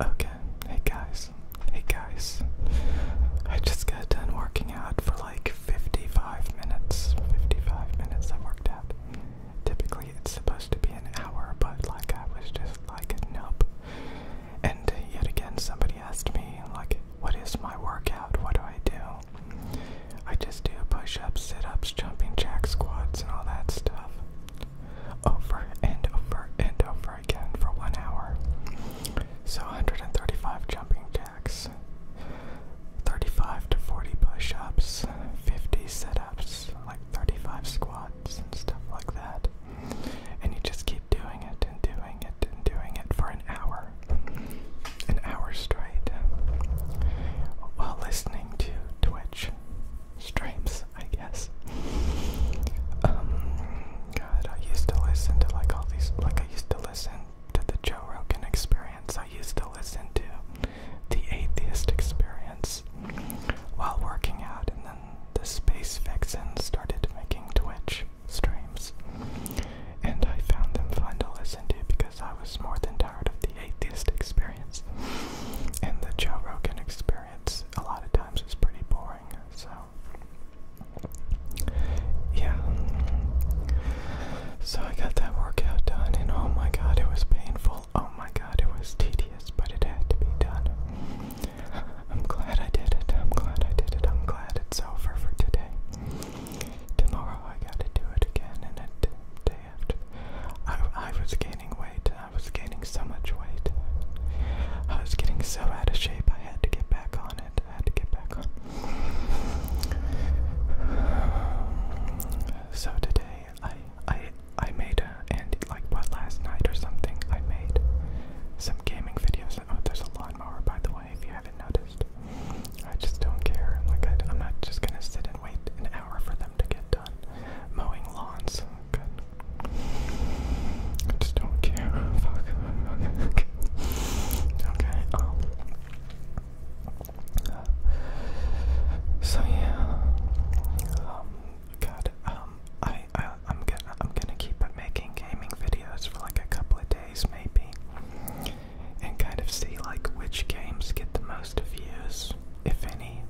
Okay, hey guys, hey guys. I just got done working out for like 55 minutes. 55 minutes I worked out. Typically it's supposed to be an hour, but like I was just like, nope. And yet again, somebody asked me, like, what is my workout? What do I do? I just do push ups, sit ups, jumping jack squats, and all that stuff over and over and over again for one hour. So 135 jumping jacks, 35 to 40 push ups, 50 sit ups, like 35 squats and stuff like that. And you just keep doing it and doing it and doing it for an hour, an hour straight, while listening to Twitch streams, I guess. Um, God, I used to listen to like all these, like I used to listen to the Joe Rogan Experience. I used to listen to the Atheist Experience while working out, and then the Space Vixen started making Twitch streams, and I found them fun to listen to because I was more than tired of the atheist experience. And the Joe Rogan experience, a lot of times, is pretty boring. So, yeah. So I got that workout done, and oh my god, it was painful. Oh my god, it was tedious, but it had to be done. I'm glad I did it. I'm glad I did it. I'm glad it's over for today. Tomorrow I gotta do it again, and it, I, was gaining weight. I was gaining so much weight. I was getting so out of shape. I had to get back on it. I had to get back on. So today, I I I made a and like what last night or something. I made some gaming videos. Oh, there's a lawnmower by the way. If you haven't noticed, I just don't care. Like I, I'm not just gonna sit and wait an hour for them to get mowing lawns. Good. I just don't care. Fuck. Okay. okay. Um, so yeah. Um. God. Um. I. I. I'm gonna. I'm gonna keep making gaming videos for like a couple of days, maybe, and kind of see like which games get the most views if any,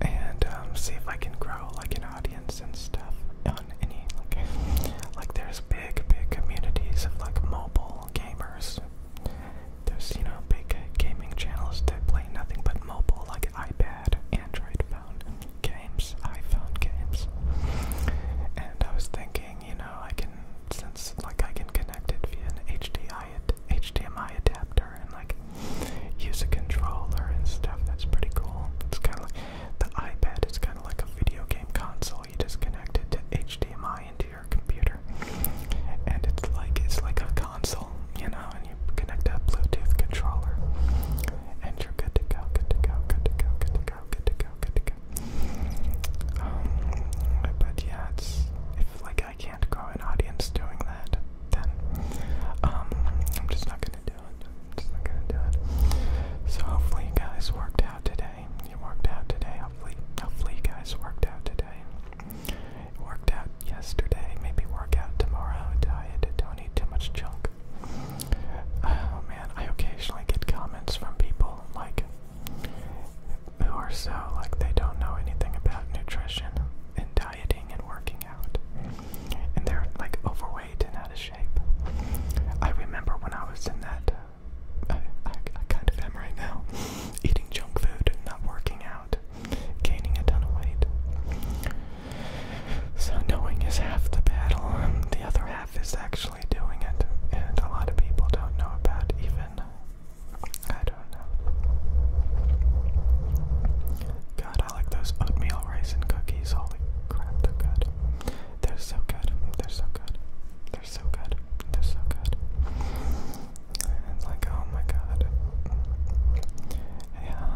and um, see if I can grow like an audience and stuff on any like like there's big big communities of like mobile gamers. There's you know big gaming channels that play nothing but mobile like iPad, Android phone games, iPhone games, and I was thinking you know I can since like I can connect it via an HDMI. HDMI adapter and like use a controller and stuff. That's pretty cool. It's kind of like the iPad. It's kind of like a video game console. You just connect it to HDMI into your computer, and it's like it's like a console, you know. And you connect that Bluetooth controller, and you're good to go. Good to go. Good to go. Good to go. Good to go. Good to go. Um, but yeah, if like I can't grow an audience doing that, then um, I'm just not gonna do it. just not gonna do it. So hopefully you guys worked out today. You worked out today. Hopefully, hopefully you guys worked out today. worked out yesterday. Maybe work out tomorrow. Diet. Don't eat too much junk. Oh man, I occasionally get comments from people like, who so like they don't know anything about nutrition and dieting and working out, and they're like overweight and out of shape. I remember when I was in that. I, kind of am right now, eating junk food, not working out, gaining a ton of weight. So knowing is half the battle, and the other half math is actually doing it, and a lot of people don't know about even. I don't know. God, I like those oatmeal raisin cookies. Holy crap, they're good. They're so good. They're so good. They're so good. They're so good. And like, oh my god. Yeah,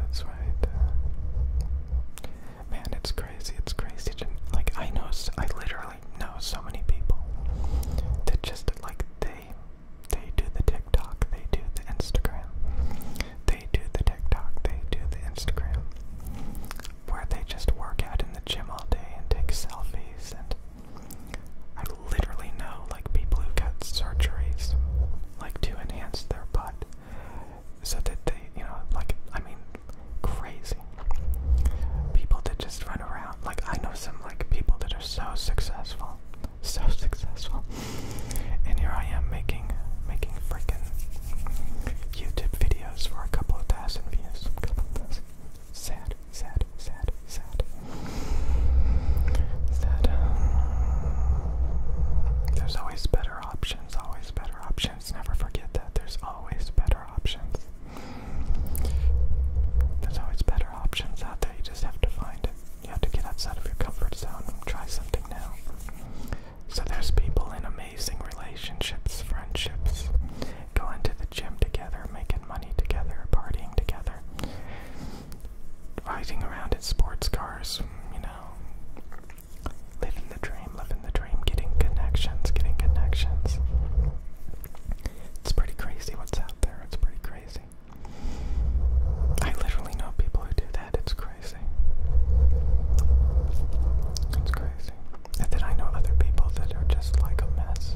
that's right. Man, it's crazy. It's crazy. Like, I know, I literally literally know so many people that just like they they do the TikTok, they do the Instagram, they do the TikTok, they do the Instagram, where they just work out in the gym all day and take selfies and I literally know like people who got surgeries like to enhance their butt so that they you know like I mean crazy. People that just run around. Like I know some like people that are so successful, so successful, and here I am making making freaking YouTube videos for a couple of thousand views. Sad, sad, sad, sad. Sad. Um, there's always better options. Always better options. Never forget that. There's always better there's always better options out there, you just have to find it. You have to get outside of your comfort zone and try something new. So there's people in amazing relationships, friendships, going to the gym together, making money together, partying together, riding around in sports cars, you know, Living the dream, living the dream, getting connections, getting connections. It's pretty crazy what's out there. It's pretty crazy. I literally know people who do that. It's crazy. It's crazy. And then I know other people that are just like a mess.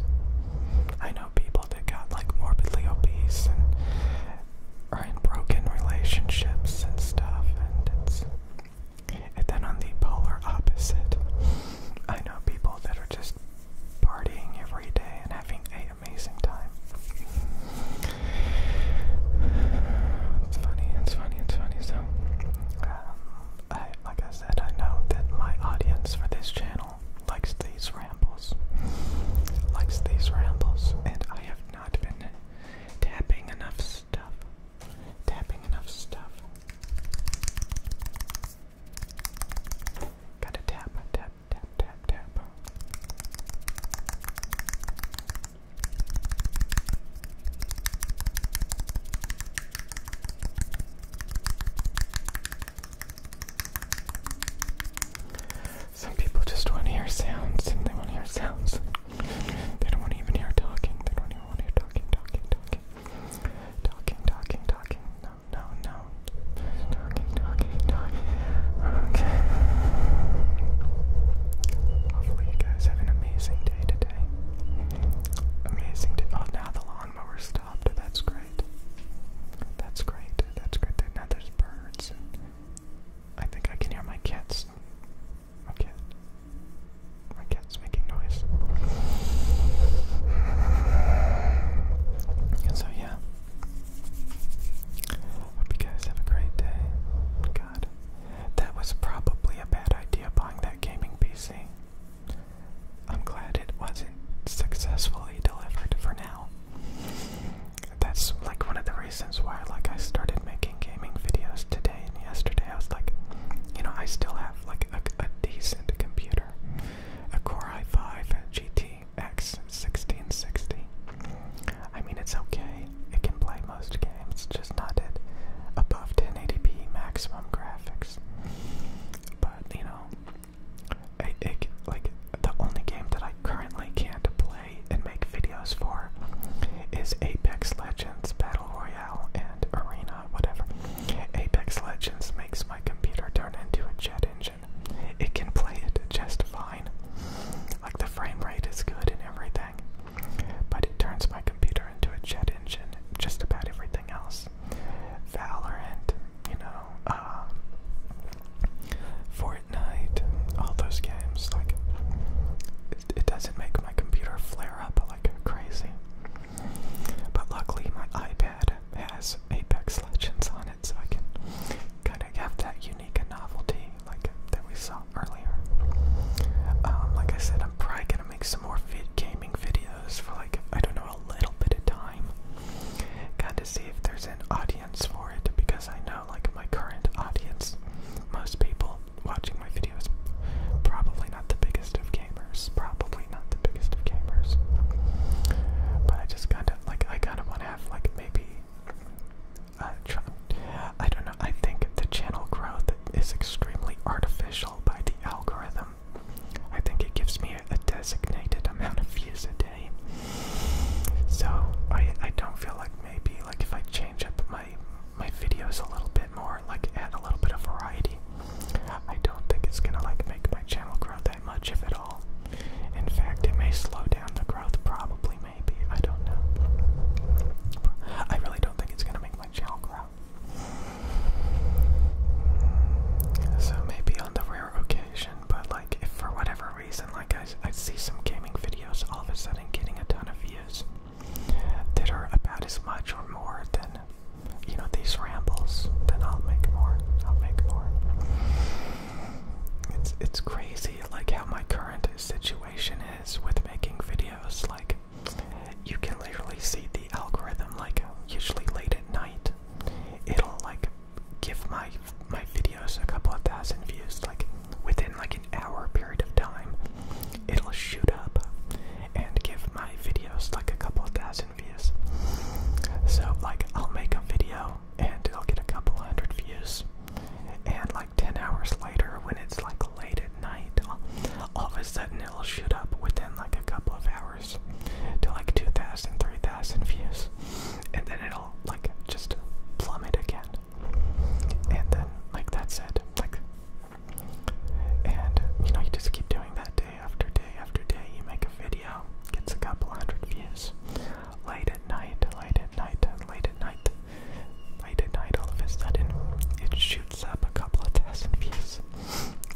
I know people that got like morbidly obese and are in broken relationships and stuff, and it's and then on the polar opposite, I know people that are just partying every day and having an amazing time. It's funny, it's funny, it's funny. So, um, I, like I said, I know that my audience for this channel likes these rambles, likes these rambles, and I have not been tapping enough Tapping enough stuff. Gotta tap, tap, tap, tap, tap. Some people just want to hear sounds and they want to hear sounds. They don't want to hear talking. They don't even want to hear talking, talking, talking. Talking, talking, talking. No, no, no. Talking, talking, talking. Okay. Hopefully you guys have an amazing day today. Amazing day. Oh, now the lawnmower stopped. That's great. That's great. That's great. Now there's birds. I think I can hear my kids. My My cat's making noise. so, yeah. Hope you guys have a great day. God. That was probably a bad idea buying that gaming PC. I'm glad it wasn't successfully delivered for now that's like one of the reasons why like I started making gaming videos today and yesterday. I was like, you know, I still have like a, decent computer, a Core i5 GTX 1660. I mean, it's okay. It can play most games, just not at above 1080p maximum graphics. But you know, it, like the only game that I currently can't play and make videos for is Apex Legends Battle Royale and Arena, whatever. Apex Legends makes my computer turn into a jet engine. It can play it just fine. Like the frame rate is good and everything, but it turns my computer into a jet engine. Just about everything else. Valorant, you know, um, Fortnite, all those games, like it, doesn't make my computer flare up like crazy. But luckily, my iPad has Apex Legends on it, so I can kind of have that unique novelty like that we saw earlier. Um, like I said, I'm probably gonna make some more vid gaming videos for like I don't know a little bit of time, kind of see if there's an audience for it because I know like my current audience, most people watching my videos, probably not the biggest of gamers, probably not the biggest of gamers. But I just kind of like I kind of want to have like maybe. Uh, I don't know. I think the channel growth is extremely artificial by the algorithm. I think it gives me a, a designated amount of views a day. So I I don't feel like maybe like if I change up my my videos a little bit more, like add a little bit of variety. I don't think it's gonna like make my channel grow that much if at all. In fact, it may slow down the growth probably maybe. I don't know. I really don't think it's gonna make my channel grow. So maybe on the rare occasion, but like if for whatever reason, like I, I see some gaming videos all of a sudden getting a ton of views that are about as much or more than, you know, these rambles. Then I'll make more. I'll make more. It's it's crazy, like how my current situation is with making videos. Like, you can literally see the algorithm. Like, usually late at night, it'll like give my my videos a couple of thousand views, like within like an hour period of time, it'll shoot up and give my videos like a couple of thousand views. So like I'll make a video and i will get a couple hundred views, and like ten hours later, when it's like late at night, all, all of a sudden it'll shoot up within like a couple of hours to like 2,000, 3,000 views, and then it'll it'll like just plummet again. And then like that's it. Like and you know you just keep doing that day after day after day. You make a video, gets a couple hundred views. Late at night, late at night, late at night, late at night, all of a sudden it shoots up a couple of thousand views.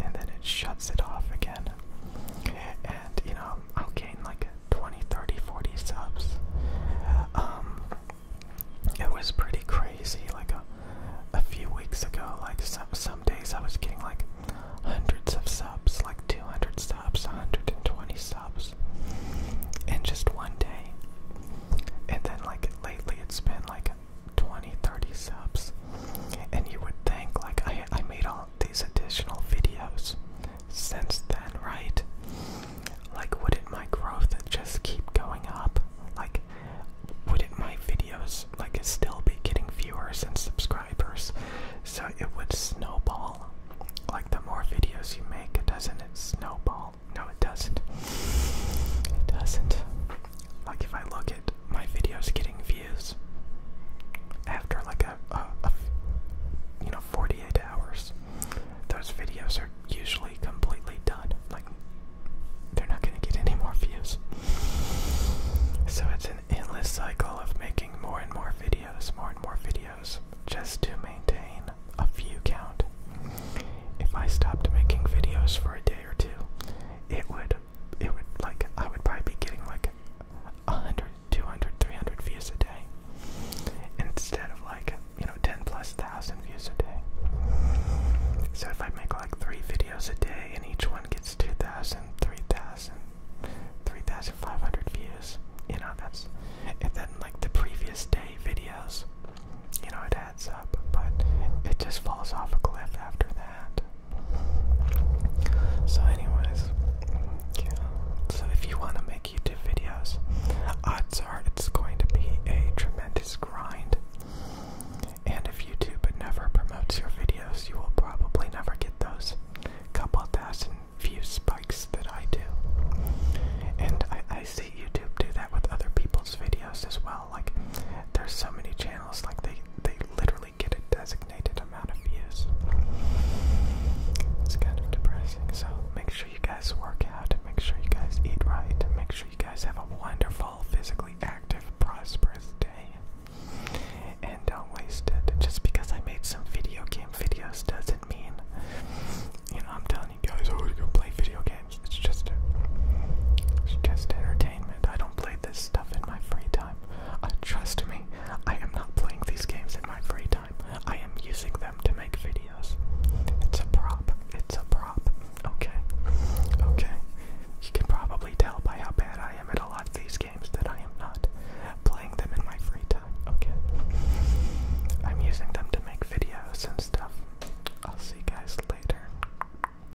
And then it shuts it off again. And you know, I'll like 20, 30, 40 subs. Um, it was pretty crazy. Like a, a few weeks ago, like some some days I was getting like hundreds of subs, like 200 subs, 120 subs, in just one day. And then like lately, it's been like 20, 30 subs. And you would think like I I made all these additional videos since then, right? Like, would it my growth just keep going up? Like, would it my videos like still be getting viewers and subscribers? So it would snowball. Like the more videos you make, doesn't it snowball? No, it doesn't. It doesn't. Like if I look at my videos getting views after like a, a you know 48 hours those videos are usually completely done like they're not going to get any more views so it's an endless cycle of making more and more videos more and more videos just to maintain a view count if i stopped making videos for a day or two it would it would like I would probably be getting like 100, 200, 300 views a day instead of like you know 10 plus thousand views a day. So if I make like three videos a day and each one gets 2,000, 3,000, 3,500 views, you know that's and then like the previous day videos, you know it adds up, but it just falls off a cliff after that. So, anyways, So if you want to make YouTube videos, odds are it's going to be a tremendous grind. And if YouTube never promotes your videos, you will probably never get those couple thousand view spikes that I do. And I, I see YouTube do that with other people's videos as well. Like, there's so many channels, like, they, they literally get a designated amount of views. It's kind of depressing. So make sure you guys work out, make sure you guys eat right, make sure you guys have a wonderful, physically active, prosperous day. And don't waste it. Just because I made some video game videos doesn't mean you know I'm telling you guys, oh you go play video games. It's just it's just entertainment. I don't play this stuff in my free time. Uh, trust me, I am not playing these games in my free time. I am using them to make videos. It's a prop. It's a prop. Okay. Okay. You can probably tell by how bad I am at a lot of these games that I am not playing them in my free time. Okay. I'm using them to make videos and stuff. I'll see you guys later.